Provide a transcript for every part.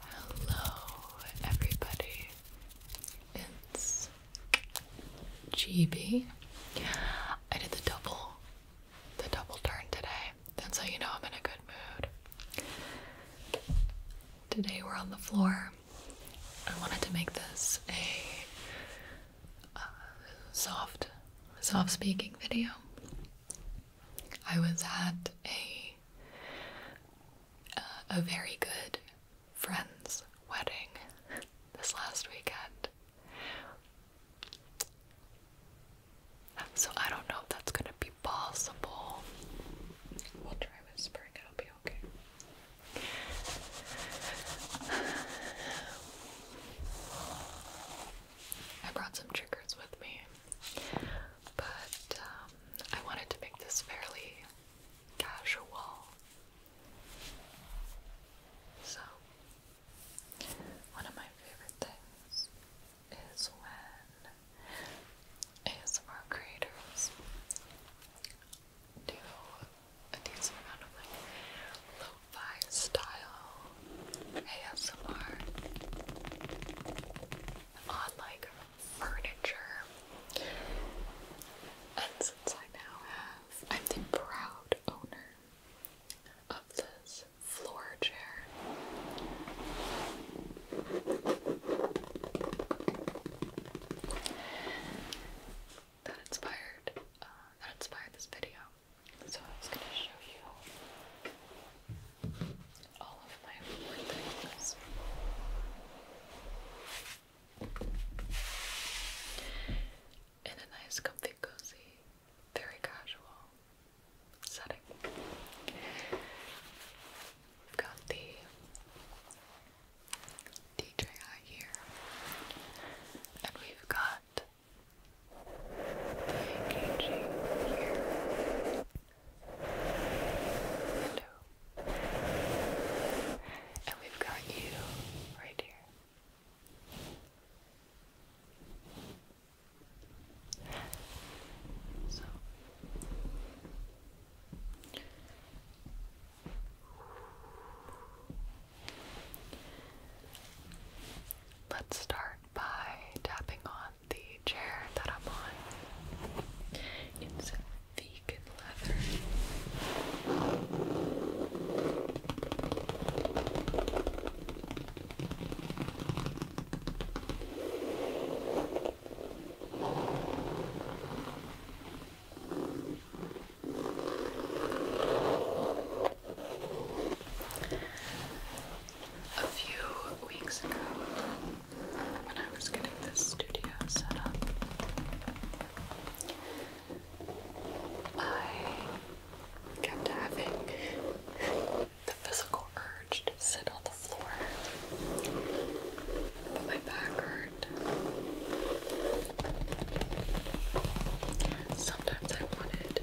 Hello, everybody. It's GB. I did the double, the double turn today. That's how you know I'm in a good mood. Today we're on the floor. I wanted to make this a uh, soft, soft speaking video. I was at a uh, a very good friend's wedding this last weekend. So I don't know if that's gonna be possible. We'll try whispering, it'll be okay. I brought some triggers with me, but um, I wanted to make this fairly casual. So, one of my favorite things is when ASMR creators do a decent amount of like lo style ASMR on like furniture. And since I now have, I'm the proud owner of this floor chair. That inspired, uh, that inspired this video. So I was going to show you all of my wood things. In a nice, comfy, cozy, very casual setting. We've got the DJI here, and we've got engaging here. Hello. And we've got you right here. So let's start by tapping on the chair that I'm on. It's vegan leather. A few weeks ago, when I was getting this studio set up, I kept having the physical urge to sit on the floor. But my back hurt. Sometimes I wanted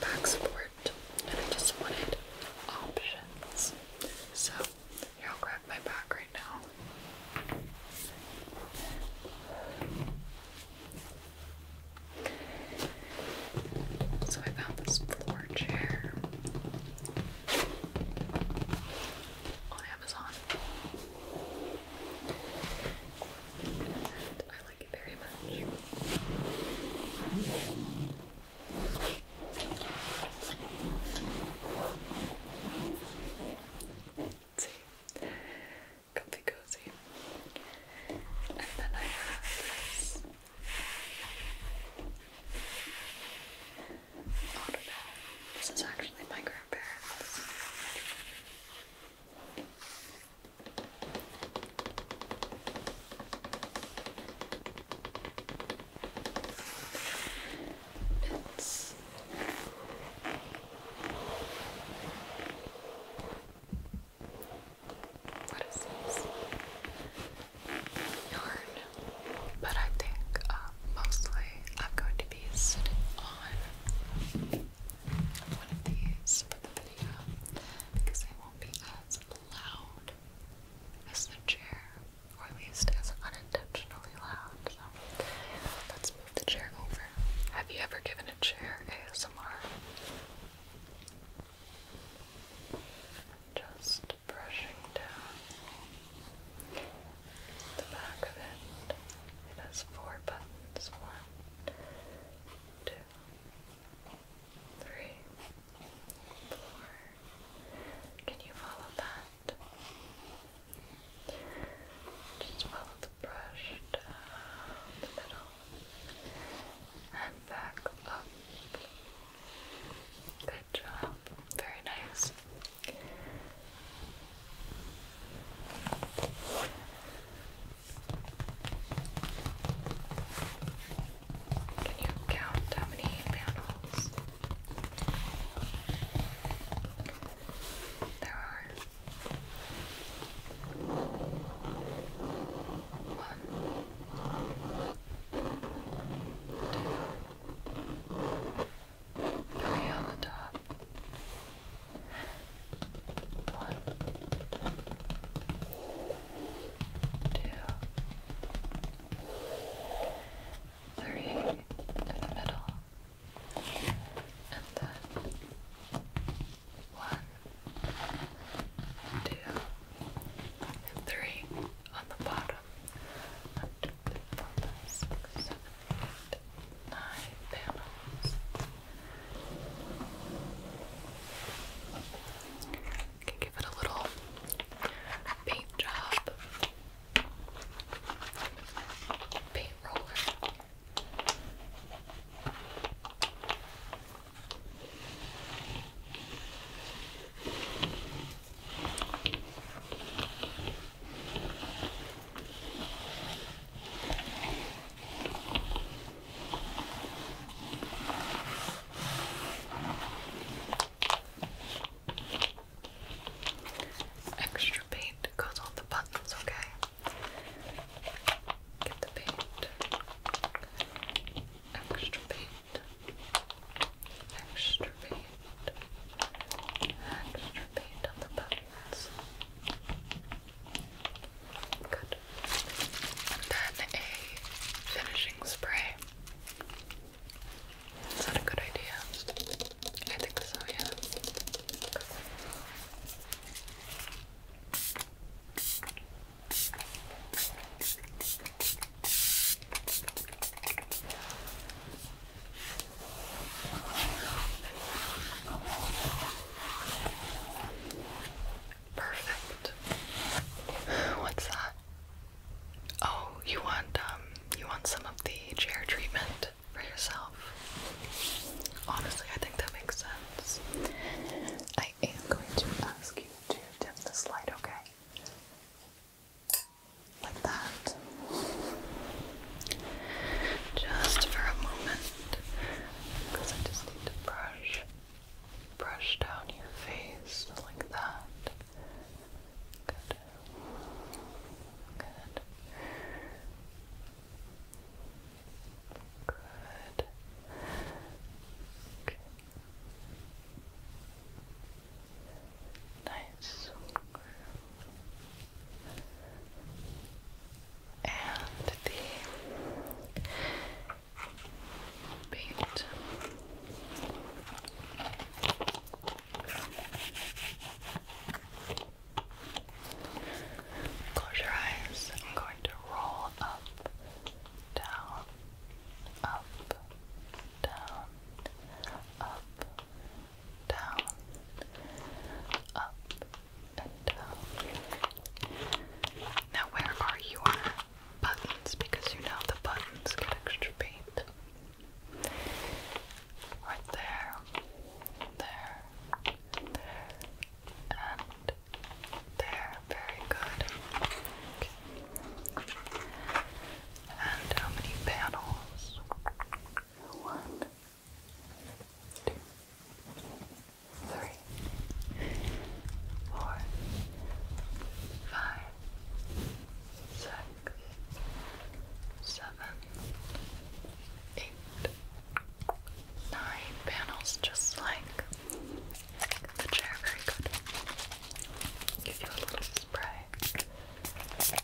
back support, and I just wanted options. So, I'll grab my back right now. So I found this floor chair on Amazon. And I like like it very much. Comfy cozy. And then I have This is actually my grandparents. It's what is But I think um, mostly I'm going to be sitting on one of these video because they won't be as loud as the chair, or at least as unintentionally loud. So let's move the chair over. Have you ever given a chair ASMR? Just brushing down the back of it. It has four buttons. One, two, three, four. Can you follow that? Just follow the brush down the middle and back up. Good job. Very nice. Can you count how many panels there are? One, two, three on the top. One, two, three in the middle, and then one, two, and three on the bottom. One, two, three, four, five, six, seven, eight, nine panels. Okay, give it a little paint job. Paint roller. Extra paint goes on the buttons, okay? Get the paint. Extra paint. Extra paint. Extra paint on the buttons. And then a finishing spray. Is that a good idea? I think so, yeah. Perfect. What's that? Oh, you want um you want some of the chair treatment for yourself. Honestly, I think that makes sense. I am going to ask you to dim this light, okay? Like that. Just for a moment because I just need to brush, brush down your face like that. Good. Good. Good. Okay. Nice and the Close your eyes. I'm going to roll up, down, up, down, up, down, up, Bento. Now, where are your buttons? Because you know the buttons get extra paint. Right there, there, there, and there. Very good. Okay. And how many panels? One, two, three, four, five, six, seven, eight, nine panels just like the chair. Very good. Give you a little spray.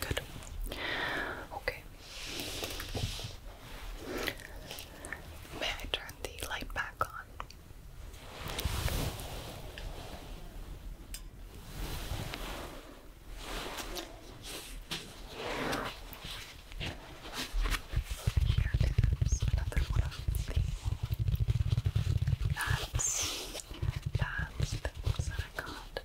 Good. Okay. May I turn the light back on? Here is another one of the bags, bags, that I got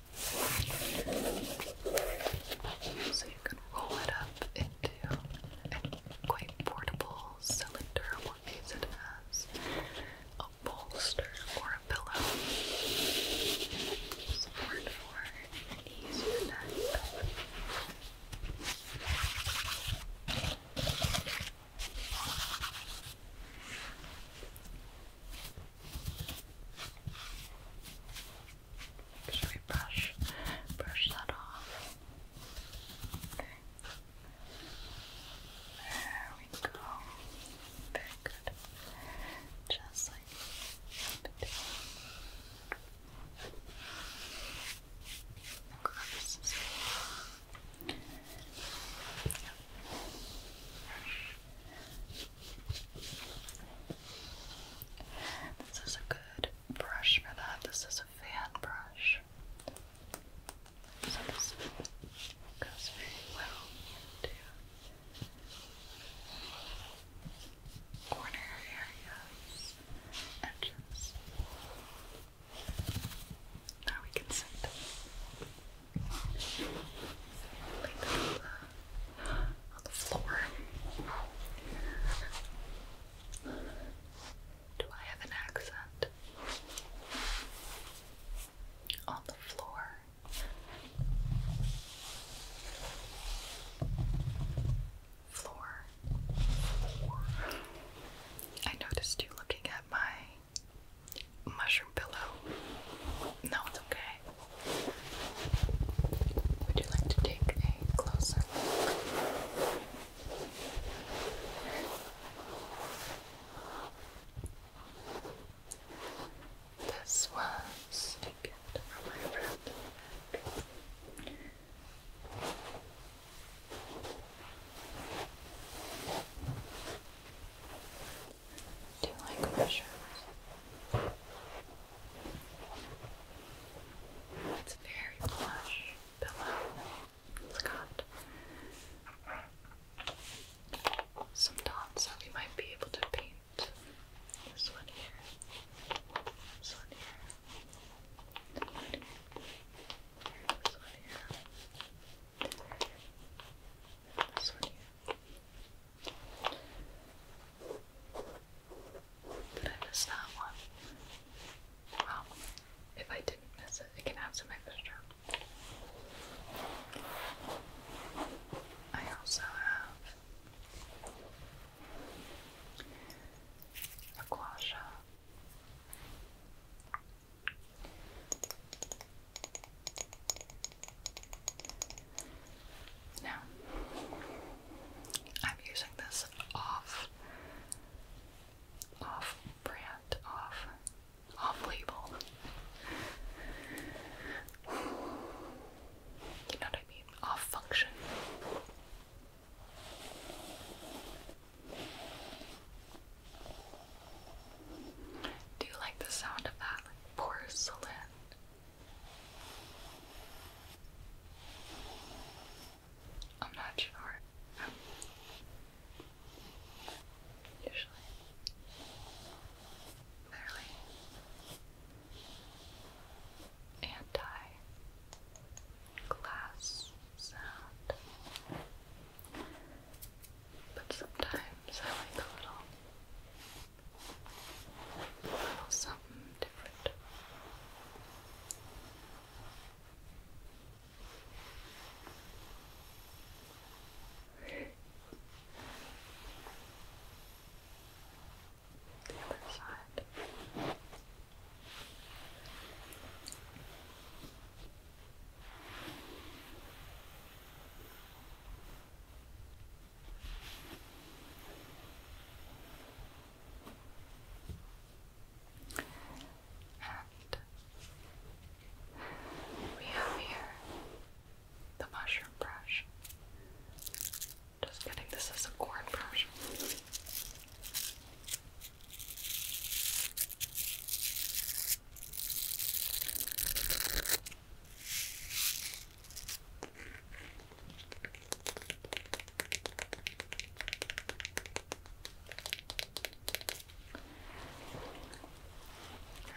So you can roll it up into a quite portable cylinder or use it as a bolster or a pillow. Support or ease your neck. Should we brush, brush that off? Okay. There we go. Very good. Just like that. Yep. This is a good brush for that. This is a fan brush. this goes very well into corner areas, edges. Now we can sit. Lay on the floor. Do I have an accent? On the floor. Floor. I noticed you looking at my mushroom pillow. No, it's okay. Would you like to take a closer look? This was a gift from my friend do like mushrooms. It's very plush pillow. It's got some dots we might be able to paint. This one here. This one here. This one here. This one here. This one here. Did I miss that one? Well, if I didn't miss it, it can have some extra. I also have a quasha. Now, I'm using this off, off brand, off, off label. You know what I mean? Off function. Do you like the sound of that like porcelain I'm not sure. Usually. Clearly. Anti glass sound. But sometimes I like a little something different. The other side we have here the mushroom brush. Just kidding, this is a corn brush.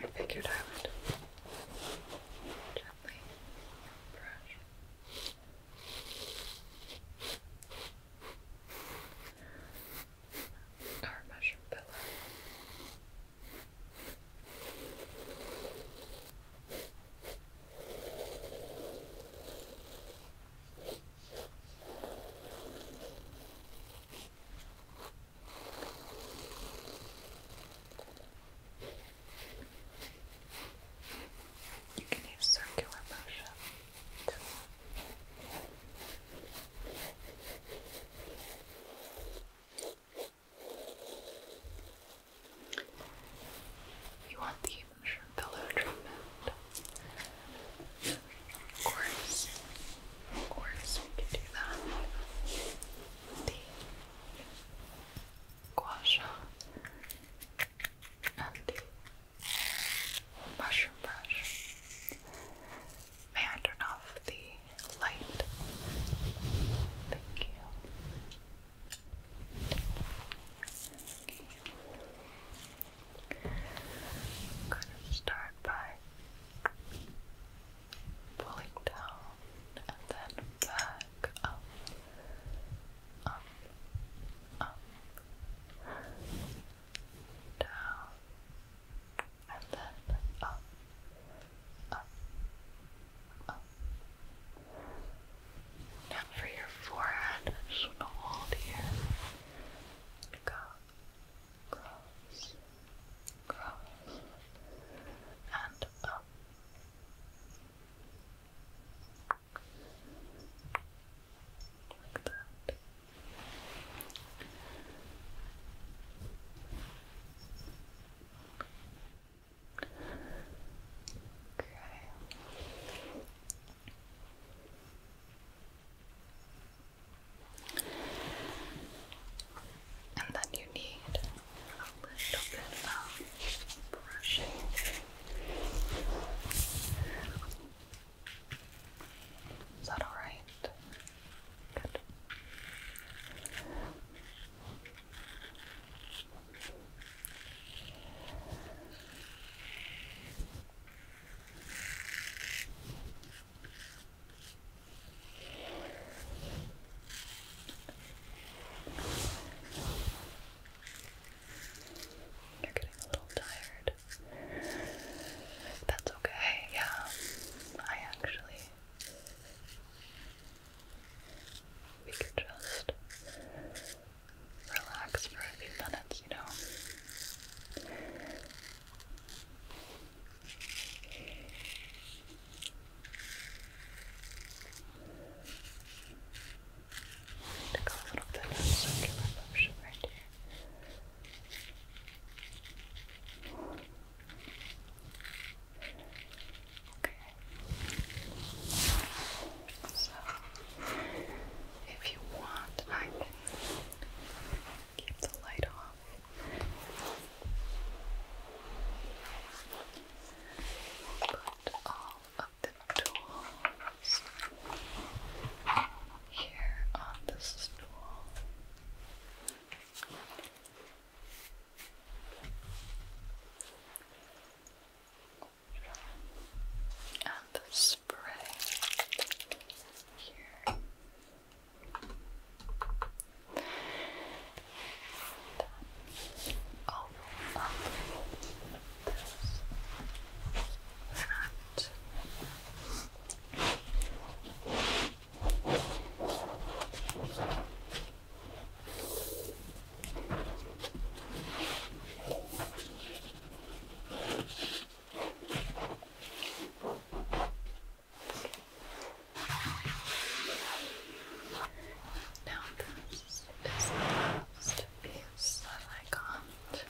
I figured I would gently brush. Our mesh pillow you can use circular motion you want the pillow treatment. Of course, of course, we can do that. The gua sha and the mushroom brush. May I turn off the light? Thank you. I'm going to start by pulling down and then back up, up, up, down, and then up, up, up, now for your forehead, just going to hold here. Go, cross, cross, and up. Like that. Okay. And then you need a little bit of brushing. Is that alright? Good. You're getting a little tired. That's okay, yeah. I actually we could just relax for a few minutes, you know. Take a little bit of circular motion right here. Okay. So, if you want, I can keep the light off. Put all of the tools here on this stool. And the spray here. All up this front. Now this is the last piece that I got.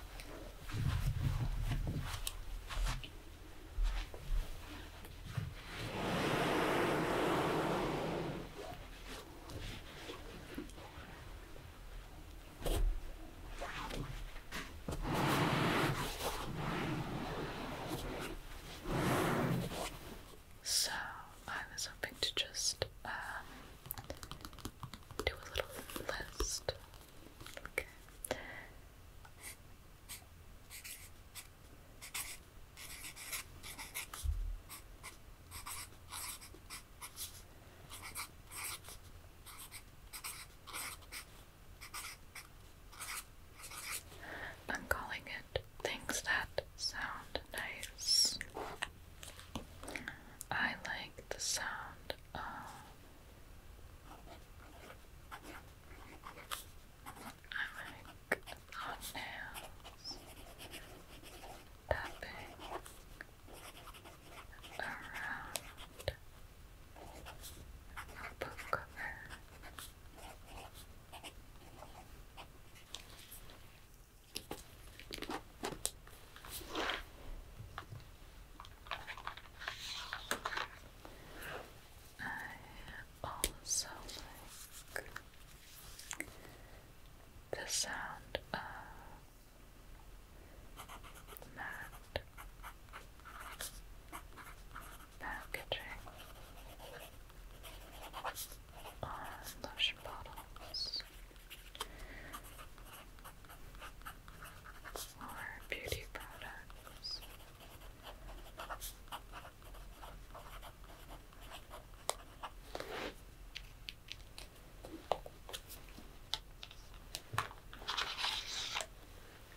So I was hoping to just um, do a little list. I'm calling it things that sound nice. I like the sound of I make hot nails tapping around a book cover. I also like the sound of matte packaging on lotion bottles or beauty products.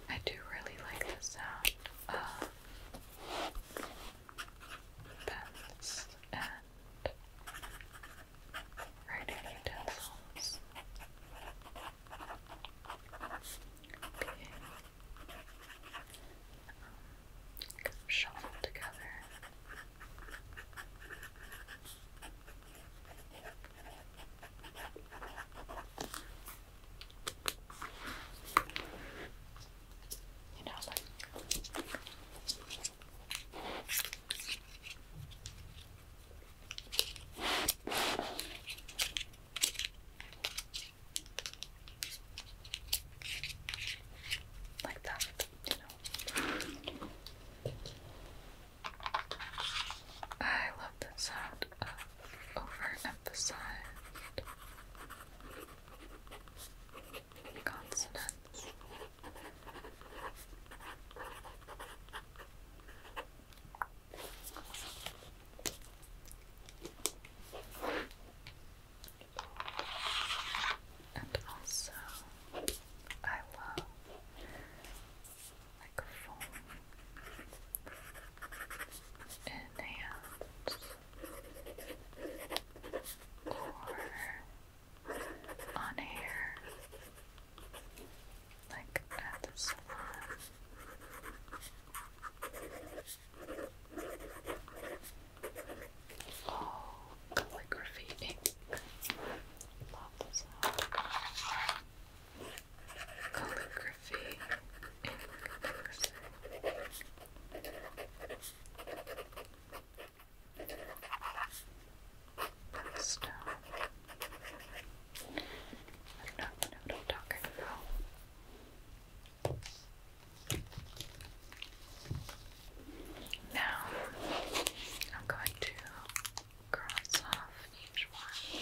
I do really like the sound of pens and writing utensils being um, shuffled together. You know, like like that, you know. I love the sound of overemphasized consonants. And also, I love like foam in or on hair, like at the salon. Oh, calligraphy Love the Calligraphy ink. That's down. Uh, I don't know what I'm talking about. Now I'm going to cross off each one.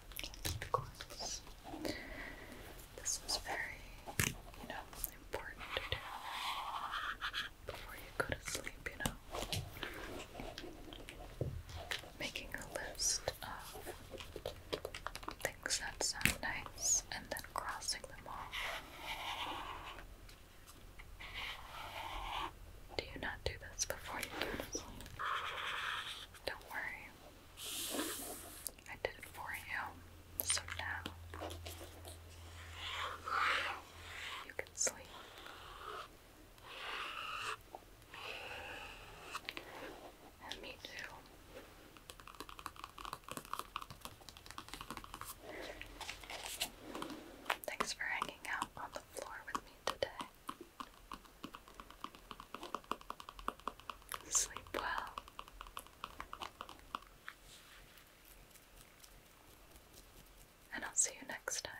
Of course. This was very, you know, important before you go to sleep, you know. Making a list of things that sound nice and then crossing them off. Do you not do this before you go to sleep? Don't worry. I did it for you. So now you can sleep. me too. Thanks for hanging out on the floor with me today. Sleep well. And I'll see you next time.